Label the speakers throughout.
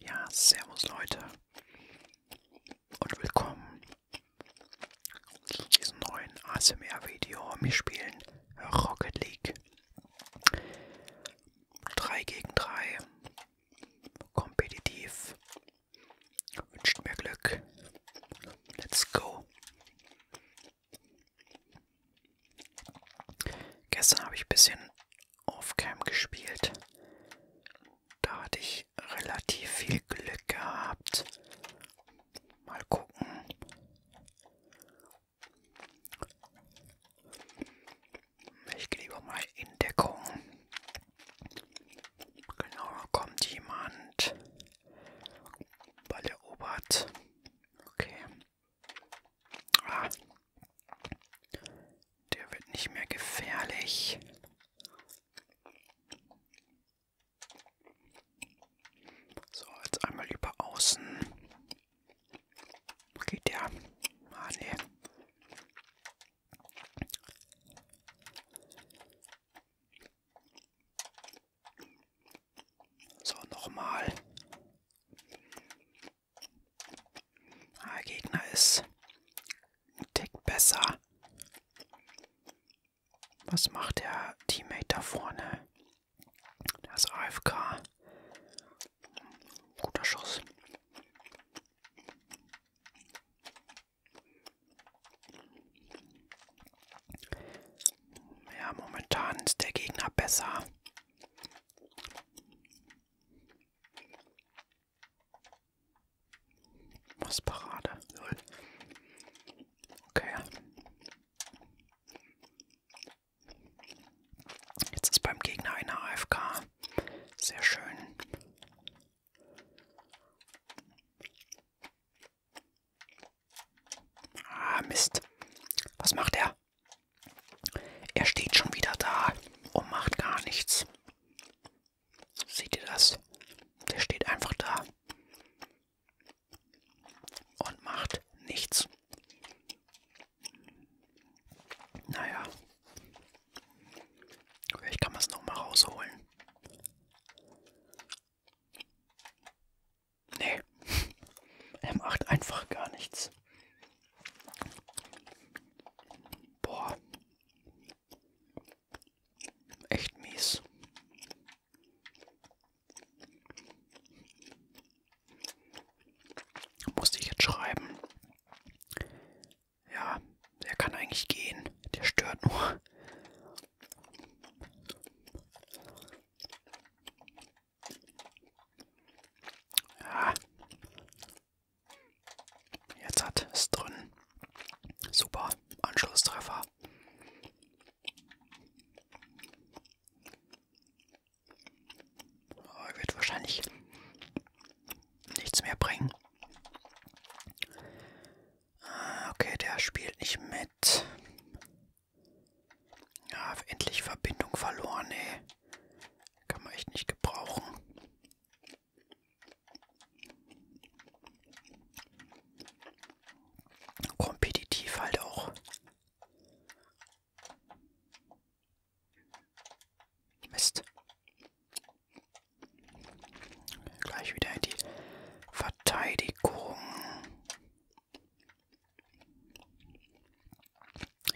Speaker 1: Ja, servus Leute und willkommen zu diesem neuen ASMR-Video. Wir spielen Rocket League 3 gegen 3, kompetitiv, wünscht mir Glück, let's go. Gestern habe ich ein bisschen Offcam gespielt. Da hatte ich relativ viel Glück gehabt. Mal gucken. Ich gehe lieber mal in Deckung. Genau, da kommt jemand. Ball erobert. Okay. Ah, der wird nicht mehr gefährlich. So, jetzt einmal über außen. Geht der? Ah, nee. So, nochmal. Der ah, Gegner ist ein Tick besser. Was macht der Teammate da vorne? Das AFK. Guter Schuss. Ja, momentan ist der Gegner besser. Was Parade? Null. Okay. Jetzt ist beim Gegner eine AFK. Sehr schön. Ah, Mist. Was macht er? Er steht schon wieder da und macht gar nichts. Seht ihr das? Der steht einfach da und macht nichts. Naja, vielleicht kann man es nochmal rausholen. Nee, er macht einfach gar nichts. Boah. Echt mies. Musste ich jetzt schreiben. Ja, der kann eigentlich gehen. Der stört nur. Ja. Jetzt hat es drin. Super. Anschlusstreffer. Aber wird wahrscheinlich nichts mehr bringen. Ah, okay, der spielt nicht mit. Ja, endlich Verbindung verloren, ey. Kann man echt nicht gebrauchen. Kompetitiv halt auch. Mist. Gleich wieder in die Verteidigung.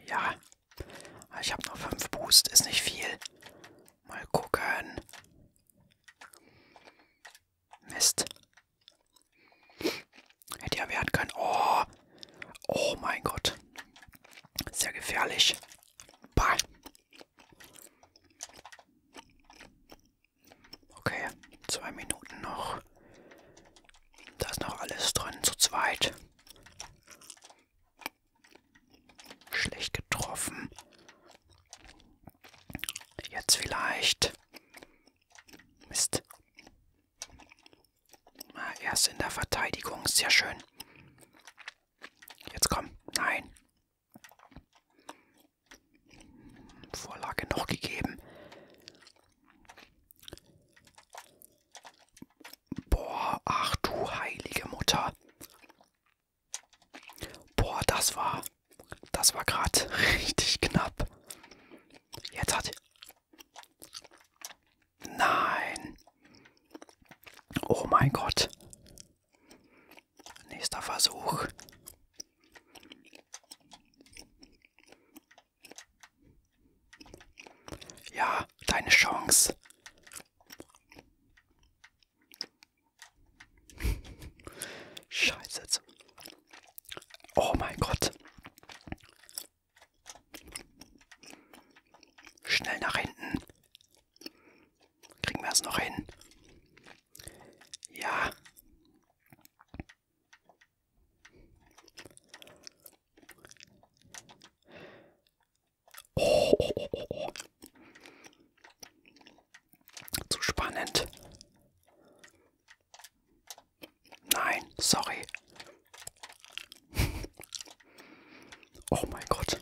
Speaker 1: Ja, Ah, ich habe noch 5 Boost, ist nicht viel. Mal gucken. Mist. Hätte ja werden können. Oh. Oh mein Gott. Sehr gefährlich. Bah. Okay, zwei Minuten noch. Da ist noch alles drin, zu zweit. Schlecht getroffen. Jetzt vielleicht. Mist. Na, ah, erst in der Verteidigung. Sehr schön. Jetzt komm. Nein. Vorlage noch gegeben. Boah, ach du heilige Mutter. Boah, das war. Das war gerade richtig knapp. Jetzt hat. Nein. Oh mein Gott. Nächster Versuch. Ja, deine Chance. Scheiße. Jetzt. Oh mein Gott. Schnell nach hinten. Kriegen wir es noch hin? Ja. Oh, oh, oh, oh. Zu spannend. Nein, sorry. oh mein Gott.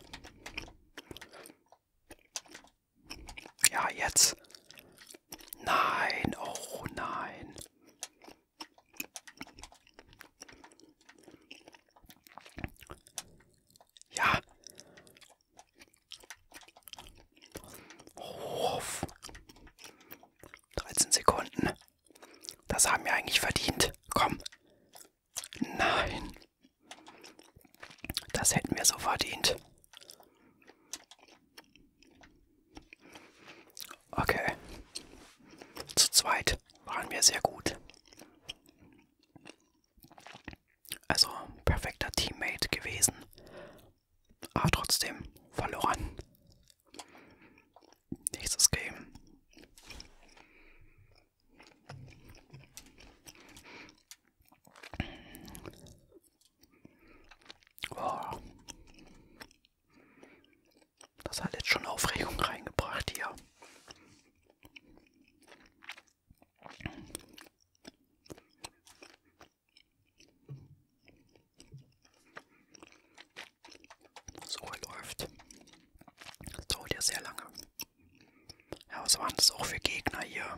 Speaker 1: Ja, jetzt. Nein, oh nein. Ja. Oh, 13 Sekunden. Das haben wir eigentlich verdient. Komm. Nein. Das hätten wir so verdient. Okay. Zu zweit waren wir sehr gut. Also perfekter Teammate gewesen, aber trotzdem verloren. Nächstes Game. Oh. Das hat jetzt schon Aufregung reingebracht hier. So läuft. Das dauert ja sehr lange. Ja, was waren das auch für Gegner hier?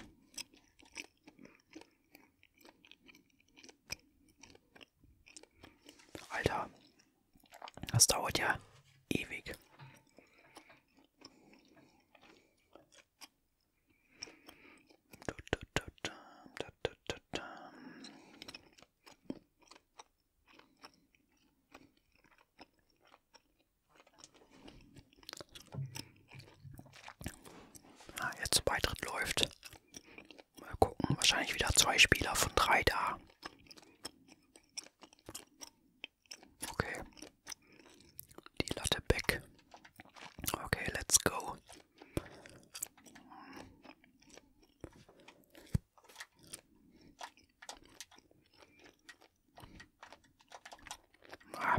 Speaker 1: Alter, das dauert ja ewig. Ah, jetzt Beitritt läuft. Mal gucken, wahrscheinlich wieder zwei Spieler von drei da. Okay. Die Latte back. Okay, let's go. Ah.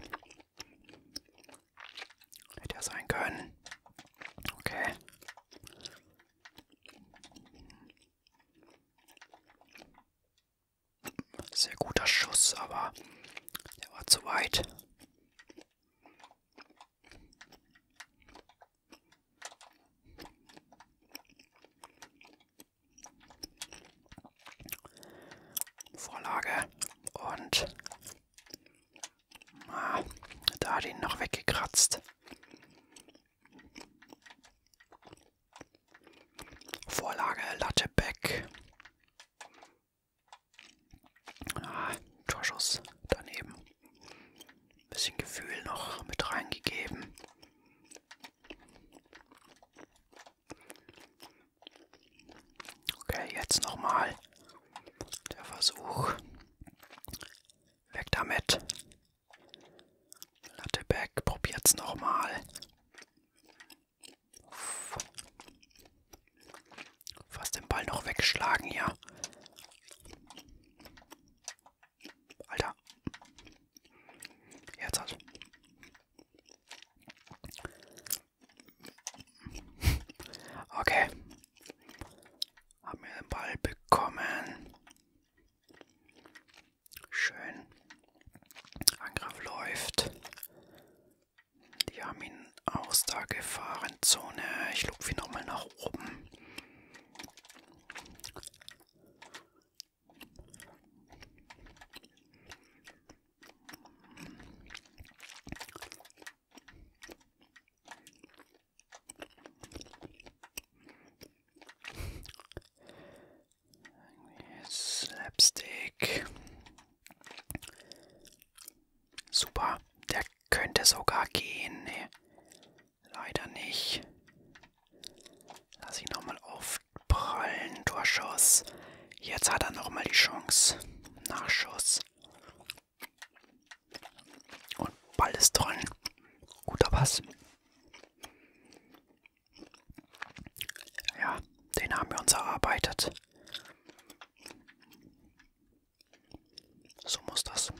Speaker 1: Hätte ja sein können. Okay. Sehr guter Schuss, aber der war zu weit. Vorlage und ah, da hat ihn noch weggekratzt. Vorlage Latte Beck. Ah, Torschuss daneben. Ein bisschen Gefühl noch mit reingegeben. Okay, jetzt nochmal der Versuch. Weg damit. Latteback probiert's nochmal. Fast den Ball noch wegschlagen hier. Alter. Jetzt hat. Okay. Haben wir den Ball bekommen. Schön. Angriff läuft. Die haben ihn aus der Gefahrenzone. Ich lupfe ihn nochmal nach oben. Slapstick. Super. Der könnte sogar gehen. Nee. Leider nicht. Lass ihn nochmal aufprallen. Torschuss. Jetzt hat er nochmal die Chance. Nachschuss. Und Ball ist drin. Guter Pass. Ja, den haben wir uns erarbeitet. So muss das.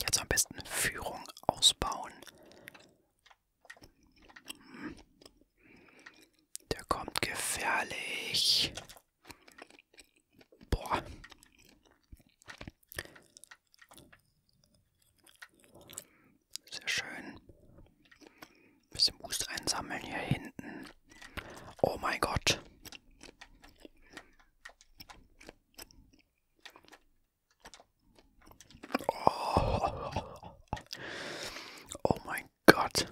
Speaker 1: Jetzt am besten Führung ausbauen. Der kommt gefährlich. Boah. Sehr schön. Bisschen Boost einsammeln hier hinten. Oh mein Gott. Oh, oh mein Gott.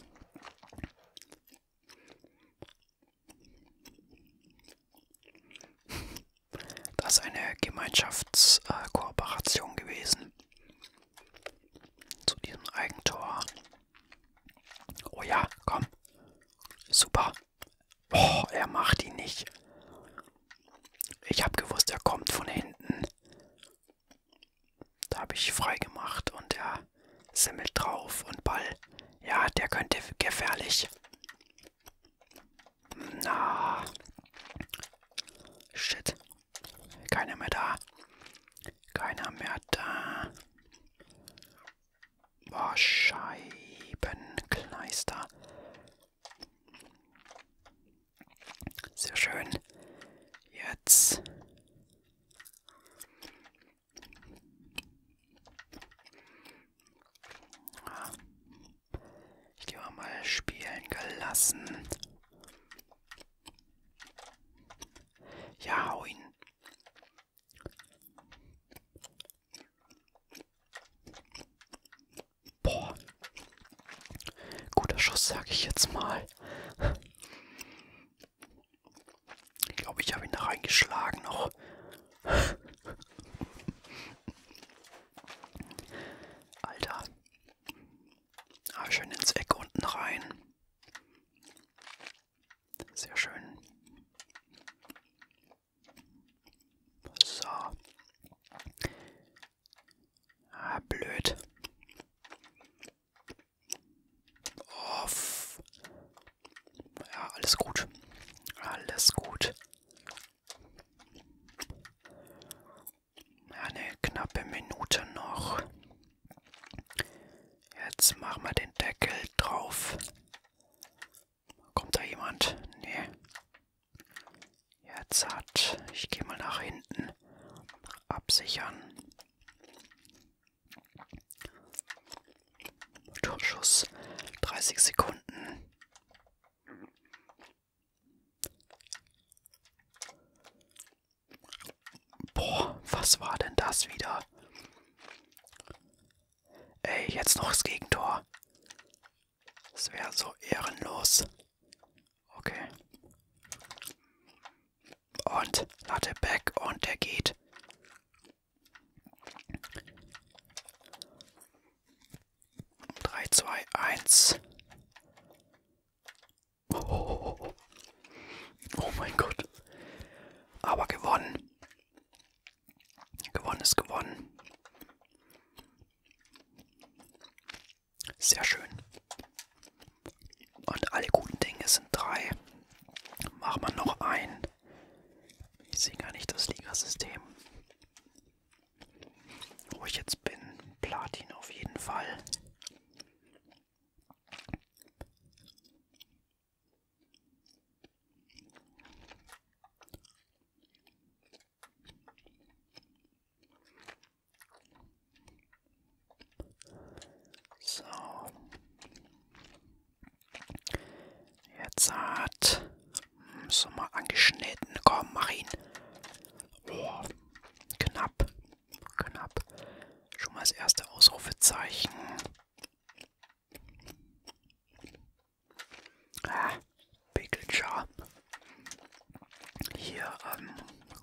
Speaker 1: Das ist eine Gemeinschaftskooperation gewesen. Zu diesem Eigentor. Oh ja, komm. Super. Oh, er macht ihn nicht. Ich habe gewusst, er kommt von hinten. Da habe ich frei gemacht und er semmelt drauf und Ball. Ja, der könnte gefährlich. Na. Shit. Keiner mehr da. Keiner mehr da. Boah, Scheibenkleister. Sehr schön. Jetzt. Ich gehe mal spielen gelassen. Ja, hau ihn. Boah. Guter Schuss, sag ich jetzt mal. Ich glaube, ich habe ihn da reingeschlagen noch. Alter. Ah, schön ins Eck unten rein. Sehr schön. So. Ah, blöd. Off. Oh, ja, alles gut. Alles gut. Eine knappe Minute noch. Jetzt machen wir den Deckel drauf. Kommt da jemand? Nee. Jetzt hat. Ich gehe mal nach hinten. Absichern. Torschuss. 30 Sekunden. Boah, was war denn das wieder? Ey, jetzt noch das Gegentor. Das wäre so ehrenlos. Okay. Und Latte back und der geht. 3, 2, 1. Oh, oh, oh. oh mein Gott. Aber gewonnen. Gewonnen ist gewonnen. Sehr schön. Und alle guten Dinge sind drei. Machen wir noch ein. Ich sehe gar nicht das Ligasystem wo ich jetzt bin. Platin auf jeden Fall. So. Jetzt hat. Hm, so mal angeschnitten. Komm, mach ihn. Oh, knapp. Knapp. Schon mal das erste Ausrufezeichen. Ah, Pickle Jar. Hier, ähm,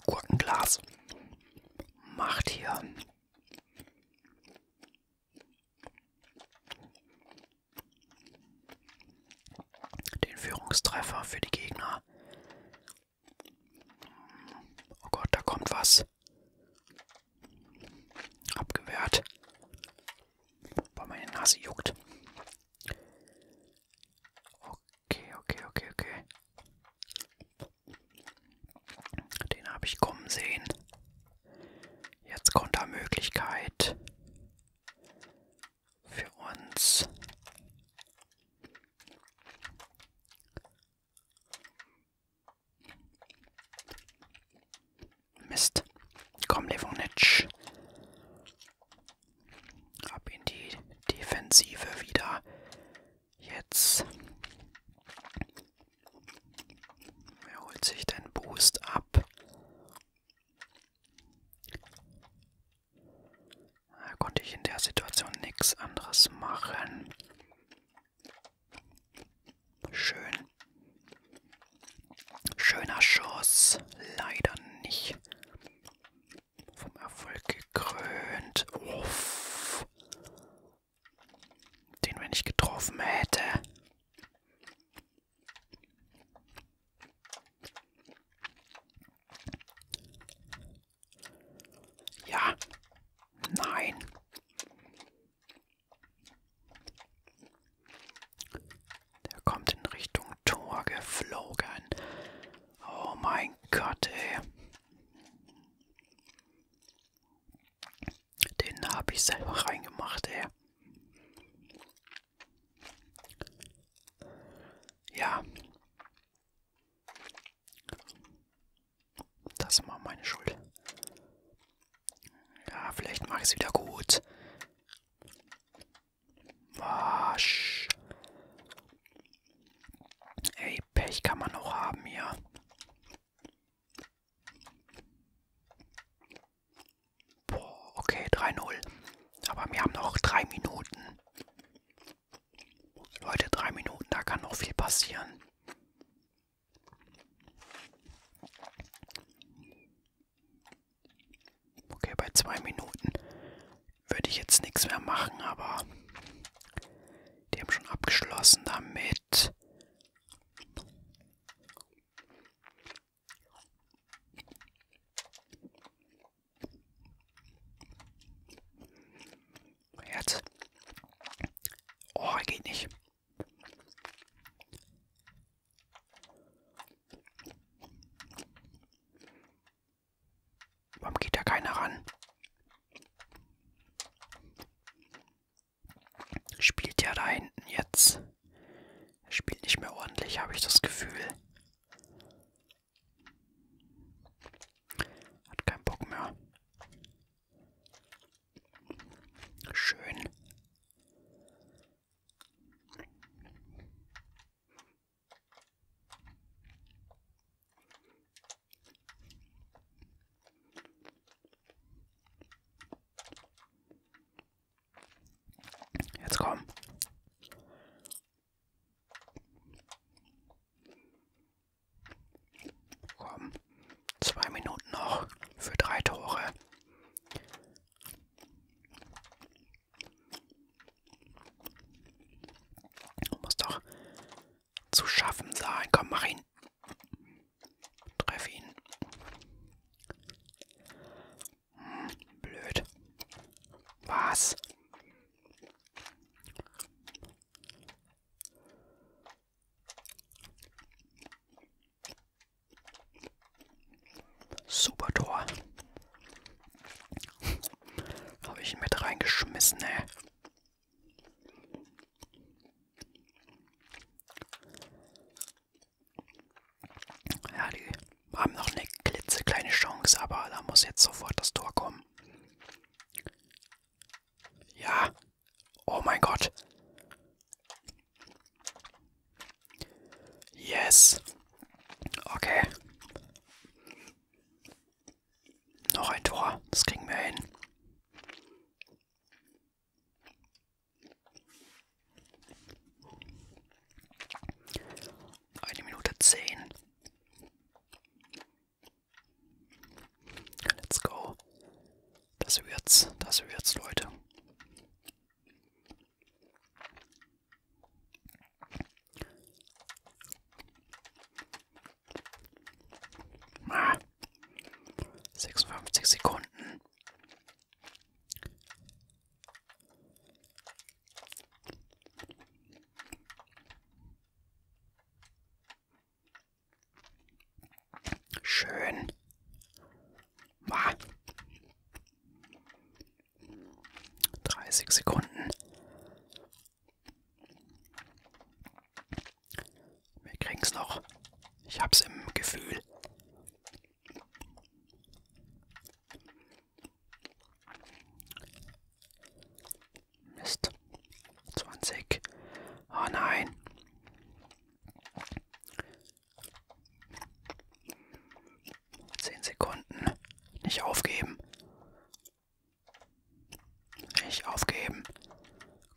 Speaker 1: Gurkenglas. Macht hier. Den Führungstreffer für die Gegner. Oh Gott, da kommt was. Abgewehrt. Weil meine Nase juckt. Okay, okay, okay, okay. Den habe ich kommen sehen. Jetzt Kontermöglichkeit für uns. Mist. Komm, Levonic. Ab in die Defensive wieder. Jetzt. Wer holt sich den Boost ab? Da konnte ich in der Situation nichts anderes machen. Schön. Schöner Schuss. Leider nicht. Vom Erfolg gekrönt. Uff. Den, wenn ich getroffen hätte. Ja. Nein. Der kommt in Richtung Tor geflogen. Oh mein Gott, ey. Den habe ich selber reingemacht, ey. Ja. Das war meine Schuld. Ja, vielleicht mache ich es wieder gut. Wasch. Ey, Pech kann man auch haben hier. Boah, okay, 3-0. Aber wir haben noch drei Minuten. Leute, drei Minuten, da kann noch viel passieren. Okay, bei zwei Minuten würde ich jetzt nichts mehr machen, aber die haben schon abgeschlossen damit. Jetzt. Oh, geht nicht. Warum geht da keiner ran? Spielt ja da hinten jetzt er spielt nicht mehr ordentlich, habe ich das Gefühl. Hat keinen Bock mehr. Schön. Jetzt komm. Komm. Zwei Minuten noch für drei Tore. Muss doch zu schaffen sein. Komm, mach ihn. Treff ihn. Blöd. Was? Super Tor. Habe ich ihn mit reingeschmissen, ey. Ja, die haben noch eine klitzekleine Chance, aber da muss jetzt sofort das Tor kommen. Ja. Oh mein Gott. Yes. Okay. Noch ein Tor. Das kriegen wir hin. Eine Minute zehn. Let's go. Das wird's, das wird's, Leute. Ah. 56 Sekunden. Schön. Bah. 30 Sekunden. Wir kriegen's noch. Ich hab's im Gefühl. Mist. 20. Oh ah, nein. Zehn Sekunden. Nicht aufgeben. Nicht aufgeben.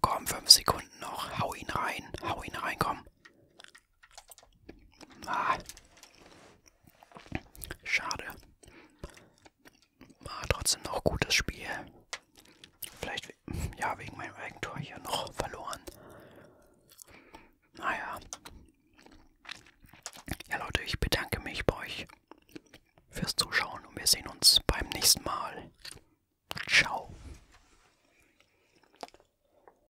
Speaker 1: Komm, fünf Sekunden noch. Hau ihn rein. Hau ihn rein, komm. Ah. Schade. Ah, trotzdem noch gutes Spiel. Vielleicht, we ja, wegen meinem Eigentor hier noch verloren. Naja. Ja, Leute, ich bedanke mich bei euch fürs Zuschauen und wir sehen uns beim nächsten Mal. Ciao.